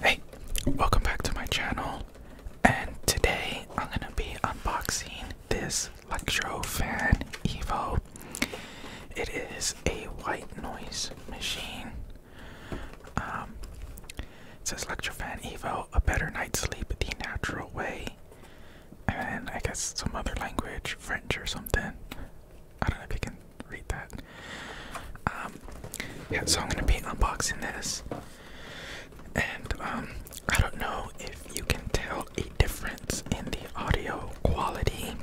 Hey, welcome back to my channel, and today I'm gonna be unboxing this Lectrofan Evo. It is a white noise machine. Um, it says Lectrofan Evo, a better night's sleep the natural way, and I guess some other language, French or something. I don't know if you can read that. Um, yeah, so I'm gonna be unboxing this, and um, I don't know if you can tell a difference in the audio quality,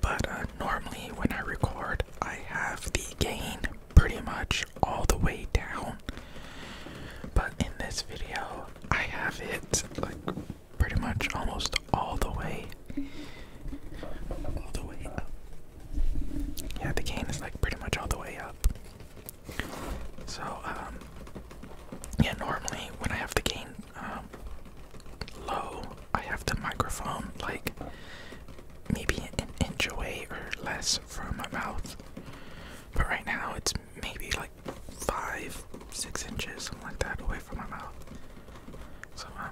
but uh, normally when I record, I have the gain pretty much all the way down, but in this video, I have it like pretty much almost all the way, all the way up. Yeah, the cane is like pretty much all the way up. So, um, yeah, normally when I have the cane um, low, I have the microphone like maybe an inch away or less from my mouth. But right now it's maybe like five, six inches, something like that, away from my mouth. So, um,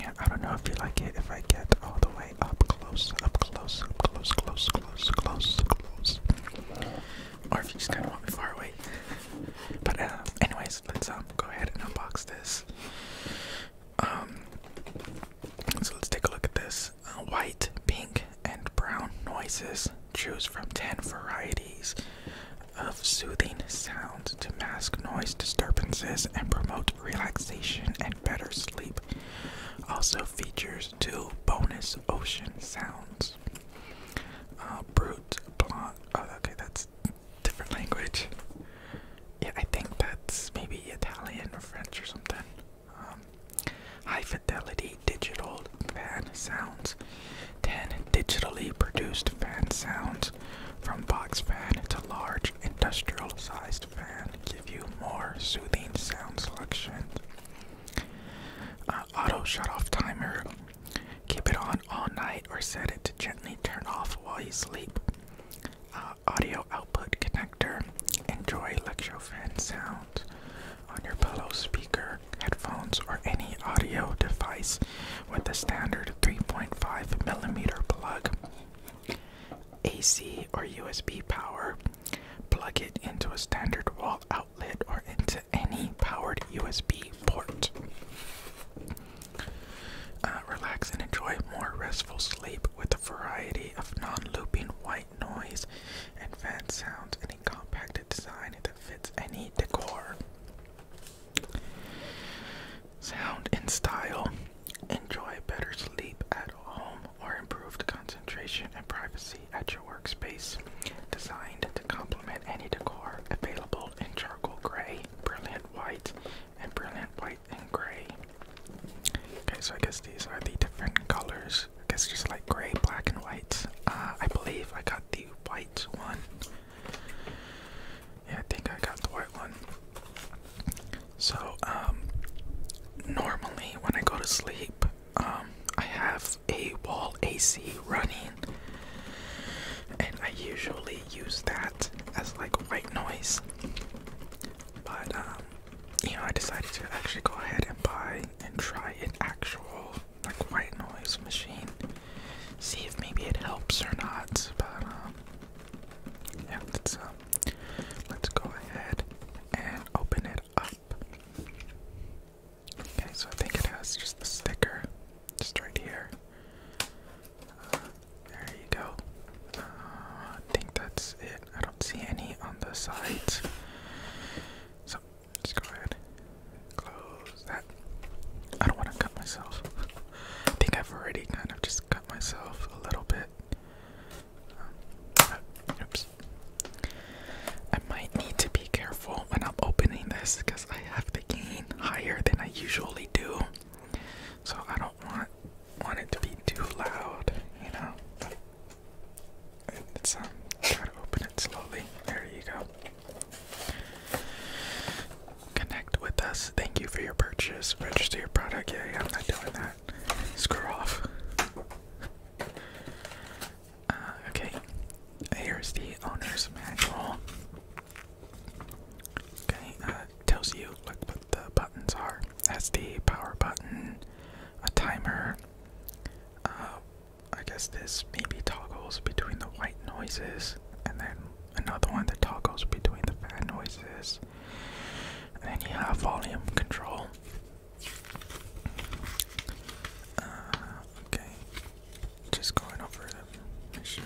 yeah, I don't know if you like it if I get all the way up close, up close, up close, close, close, close, close. Or if you just kind of want me far away. But uh, anyways, let's um, go ahead and unbox this. Um, so let's take a look at this. Uh, white, pink, and brown noises. Choose from 10 varieties of soothing sounds to mask noise disturbances and promote relaxation and better sleep. Also features two bonus ocean sounds. Uh, brute blonde. Oh, okay, that's different language. Yeah, I think that's maybe Italian or French or something. Um, high fidelity digital fan sounds 10 digitally produced fan sounds from box fan to large industrial sized fan give you more soothing sound selection. Uh, auto shut off timer. Keep it on all night or set it to gently turn off while you sleep. Uh, audio output connector. Enjoy electrofan sound on your pillow speaker, headphones, or any audio device with a standard 3.5 millimeter plug. AC or USB power. Plug it into a standard wall outlet or into any powered USB port. Uh, relax and enjoy more restful sleep with a variety of non looping white noise and fan sounds in a compacted design that fits any decor. Sound and style. Enjoy better sleep at home or improved concentration and privacy at your workspace. Designed to complement any decor available in charcoal gray, brilliant white, and brilliant white and gray. Okay, so I guess these are the different colors. I guess just like gray, black, and white. Uh, I believe I got the white one. Yeah, I think I got the white one. So, um, normally when I go to sleep, um, I have a wall AC running, and I usually use that as like white noise. But, um, you know, I decided to actually go ahead and buy and try an actual like white noise machine. See if maybe it helps or not. But um, yeah, um, let's go ahead and open it up. Okay, so I think it has just the sticker, just right here. Uh, there you go. Uh, I think that's it. I don't see any on the sides. So let go ahead close that. I don't want to cut myself. I think I've already kind of just cut myself a little bit. Um, oops. I might need to be careful when I'm opening this because I have the gain higher than I usually do. So I don't want want it to be too loud, you know. But it's um, try to open it slowly. There you go. Connect with us. Thank you for your purchase. Register your product. Yeah, I'm not doing that. Screw off. Uh, okay, here's the owner's manual. Okay, uh, tells you what the buttons are. That's power button, a timer, uh, I guess this maybe toggles between the white noises, and then another one that toggles between the fan noises. And then you have volume control. Uh, okay, just going over the machine.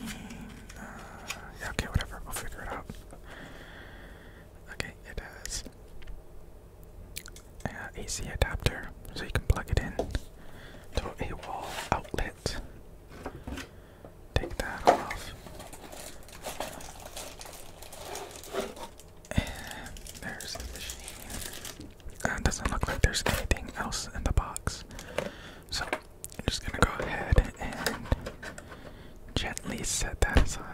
Uh, okay, whatever. We'll figure it out. Okay, it has uh, AC adapter, so you can plug it in to a wall outlet. Take that off. there's the machine. Uh, doesn't look like there's anything else in the box. So I'm just gonna go ahead and gently set that aside.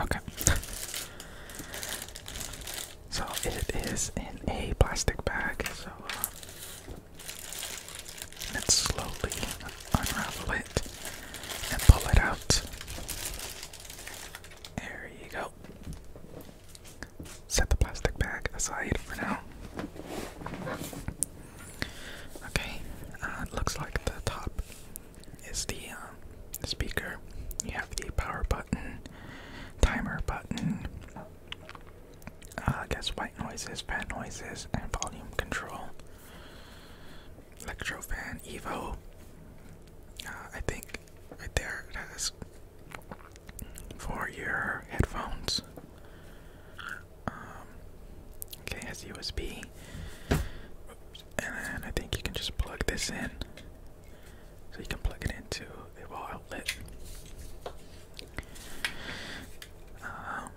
Okay. so it is in a plastic bag, so uh, let's slowly unravel it and pull it out. There you go. Set the plastic bag aside for now. Okay, it uh, looks like the top is um, the speaker. You have the power button, timer button. Uh, I guess white noises, fan noises, and volume control. Electrofan Evo. Uh, I think right there it has for your headphones. Um, okay, it has USB. And I think you can just plug this in. So you can plug it into the wall outlet. Um,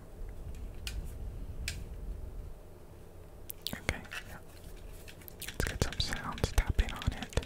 okay, Let's get some sounds tapping on it.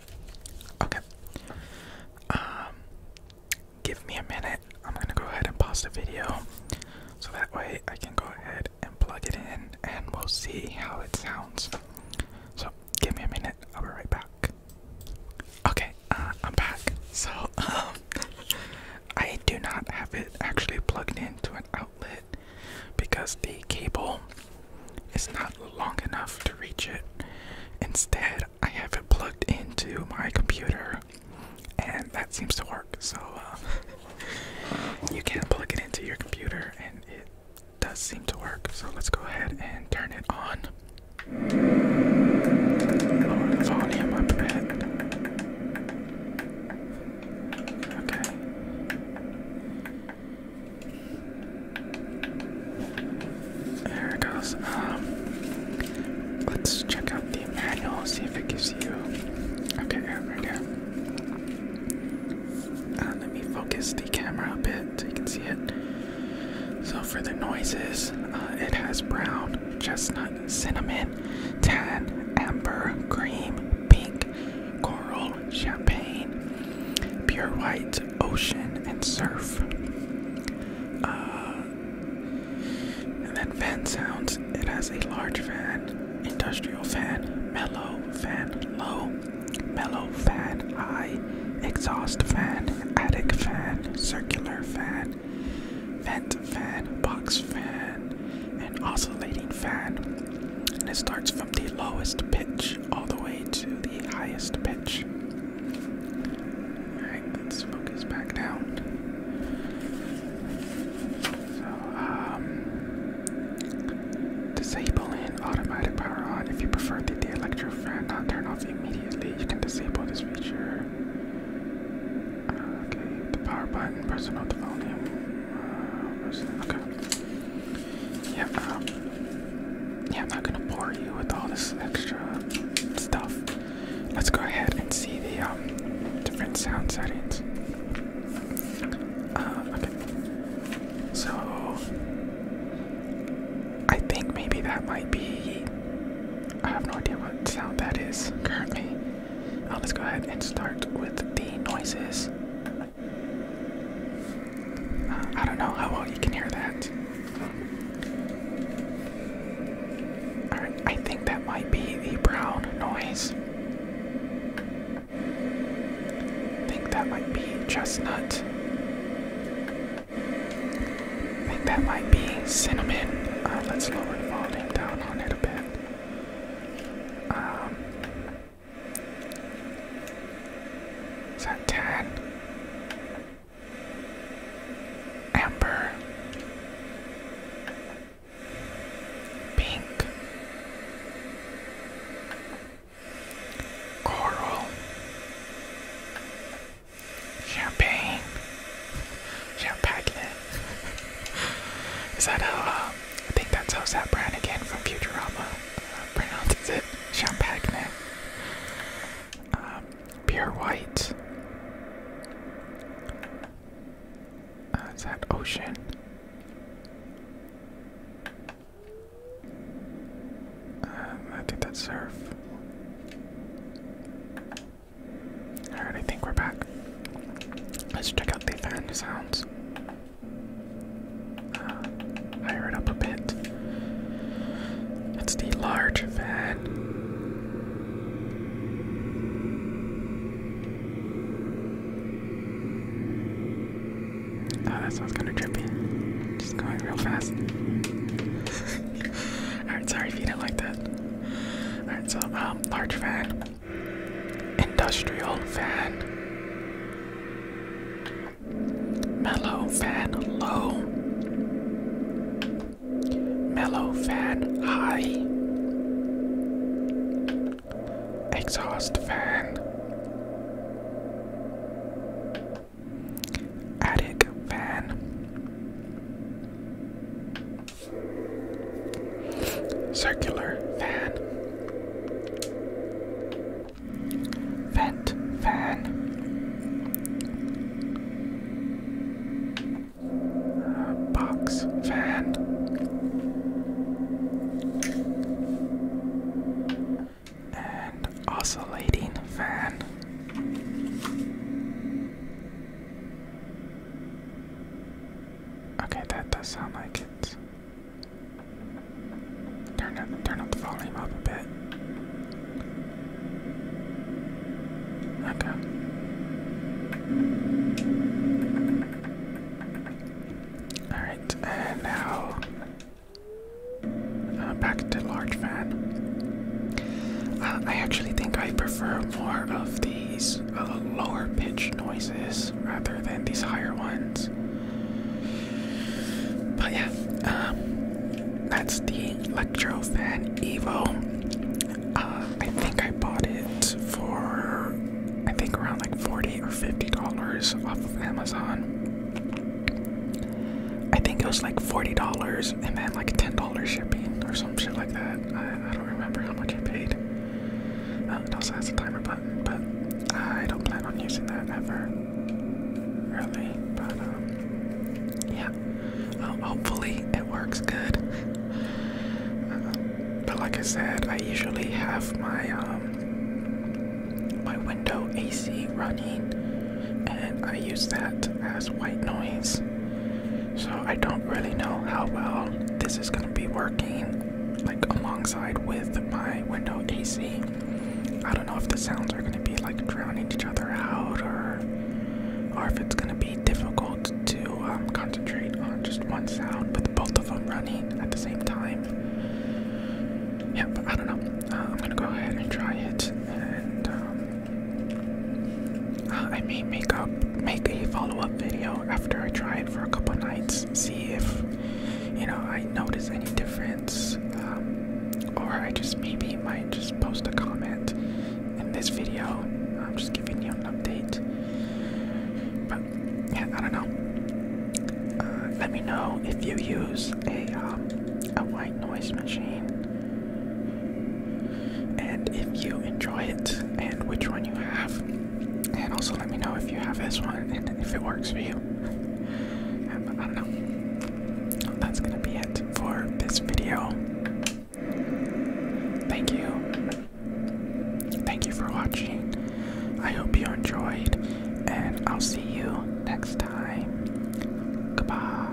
Okay. Um, give me a minute. I'm gonna go ahead and pause the video so that way I can go ahead and plug it in and we'll see how it sounds. So, give me a minute. I'll be right back. Okay, uh, I'm back. So, um, I do not have it actually plugged into an outlet because the cable it's not long enough to reach it. Instead, I have it plugged into my computer, and that seems to work. So, uh, you can plug it into your computer, and it does seem to work. So, let's go ahead and turn it on. Lower the volume up a bit. Okay. There it goes. Um, let's check out the manual, see if it gives you. Okay, right here. Uh, let me focus the camera a bit so you can see it. So, for the noises, uh, it has brown, chestnut, cinnamon, tan, amber, cream, pink, coral, Champagne, Pure White, Ocean, and Surf. Uh, and then fan sounds, it has a large fan, industrial fan, mellow fan, low, mellow fan, high, exhaust fan, attic fan, circular fan, vent fan, box fan, and oscillating fan. And it starts from the lowest pitch all the way to the highest pitch. Alright, let's focus back down. So, um, disable and automatic power on. If you prefer the, the electro fan not turn off immediately, you can disable this feature. okay, the power button, personal the volume. Uh, okay yeah, um, yeah, I'm not gonna bore you with all this extra stuff. Let's go ahead and see the um, different sound settings. Uh, okay. So, I think maybe that might be. I have no idea what sound that is currently. Uh, let's go ahead and start with the noises. I don't know how well you can hear that. Alright, I think that might be the brown noise. think that might be chestnut. think that might be cinnamon. Uh, let's lower the volume down on it a bit. Um, is that Tan? Amber. Pink. Coral. Champagne. Champagne. Is that how uh, I think that's how Zach Brannigan from Futurama pronounces it. Champagne. Um, pure white. Uh, is that ocean? Um, I think that's surf. Alright, I think we're back. Let's check out the thunder sounds. Uh, it up a bit. That's the large fan. Oh, that sounds kind of trippy. Just going real fast. Alright, sorry if you didn't like that. Alright, so, um, large fan. Industrial fan. Mellow fan low. Mellow fan high. Exhaust fan. Attic fan. Circular fan. Vent fan. Uh, box fan. And oscillating fan. Okay, that does sound like it. Turn up, turn up the volume up a bit. Okay. All right, and now uh, back to large fan. Uh, I actually think I prefer more of these these lower pitch noises rather than these higher ones. But yeah, um, that's the Electrofan Evo. Uh, I think I bought it for I think around like forty or fifty dollars off of Amazon. I think it was like forty dollars and then like ten dollars shipping or some shit like that. I, I don't remember how much I paid it also has a timer button, but I don't plan on using that ever, really. But um, yeah, hopefully it works good. Uh, but like I said, I usually have my um, my window AC running, and I use that as white noise. So I don't really know how well this is going to be working like alongside with my window AC. I don't know if the sounds are going to be like drowning each other out or or if it's going to be difficult to um, concentrate on just one sound with both of them running at the same time. Yeah, but I don't know. Uh, I'm going to go ahead and try it and um, I may make up make a follow-up video after I try it for a couple nights, see if you know I notice any difference, um, or I just maybe might just post a comment in this video. I'm just giving you an update, but yeah, I don't know. Uh, let me know if you use a um, a white noise machine and if you enjoy it and which one you have. And also let me know if you have this one and if it works for you. Um, I don't know. That's gonna be it for this video. Thank you. Thank you for watching. I hope you enjoyed, and I'll see you next time. Goodbye.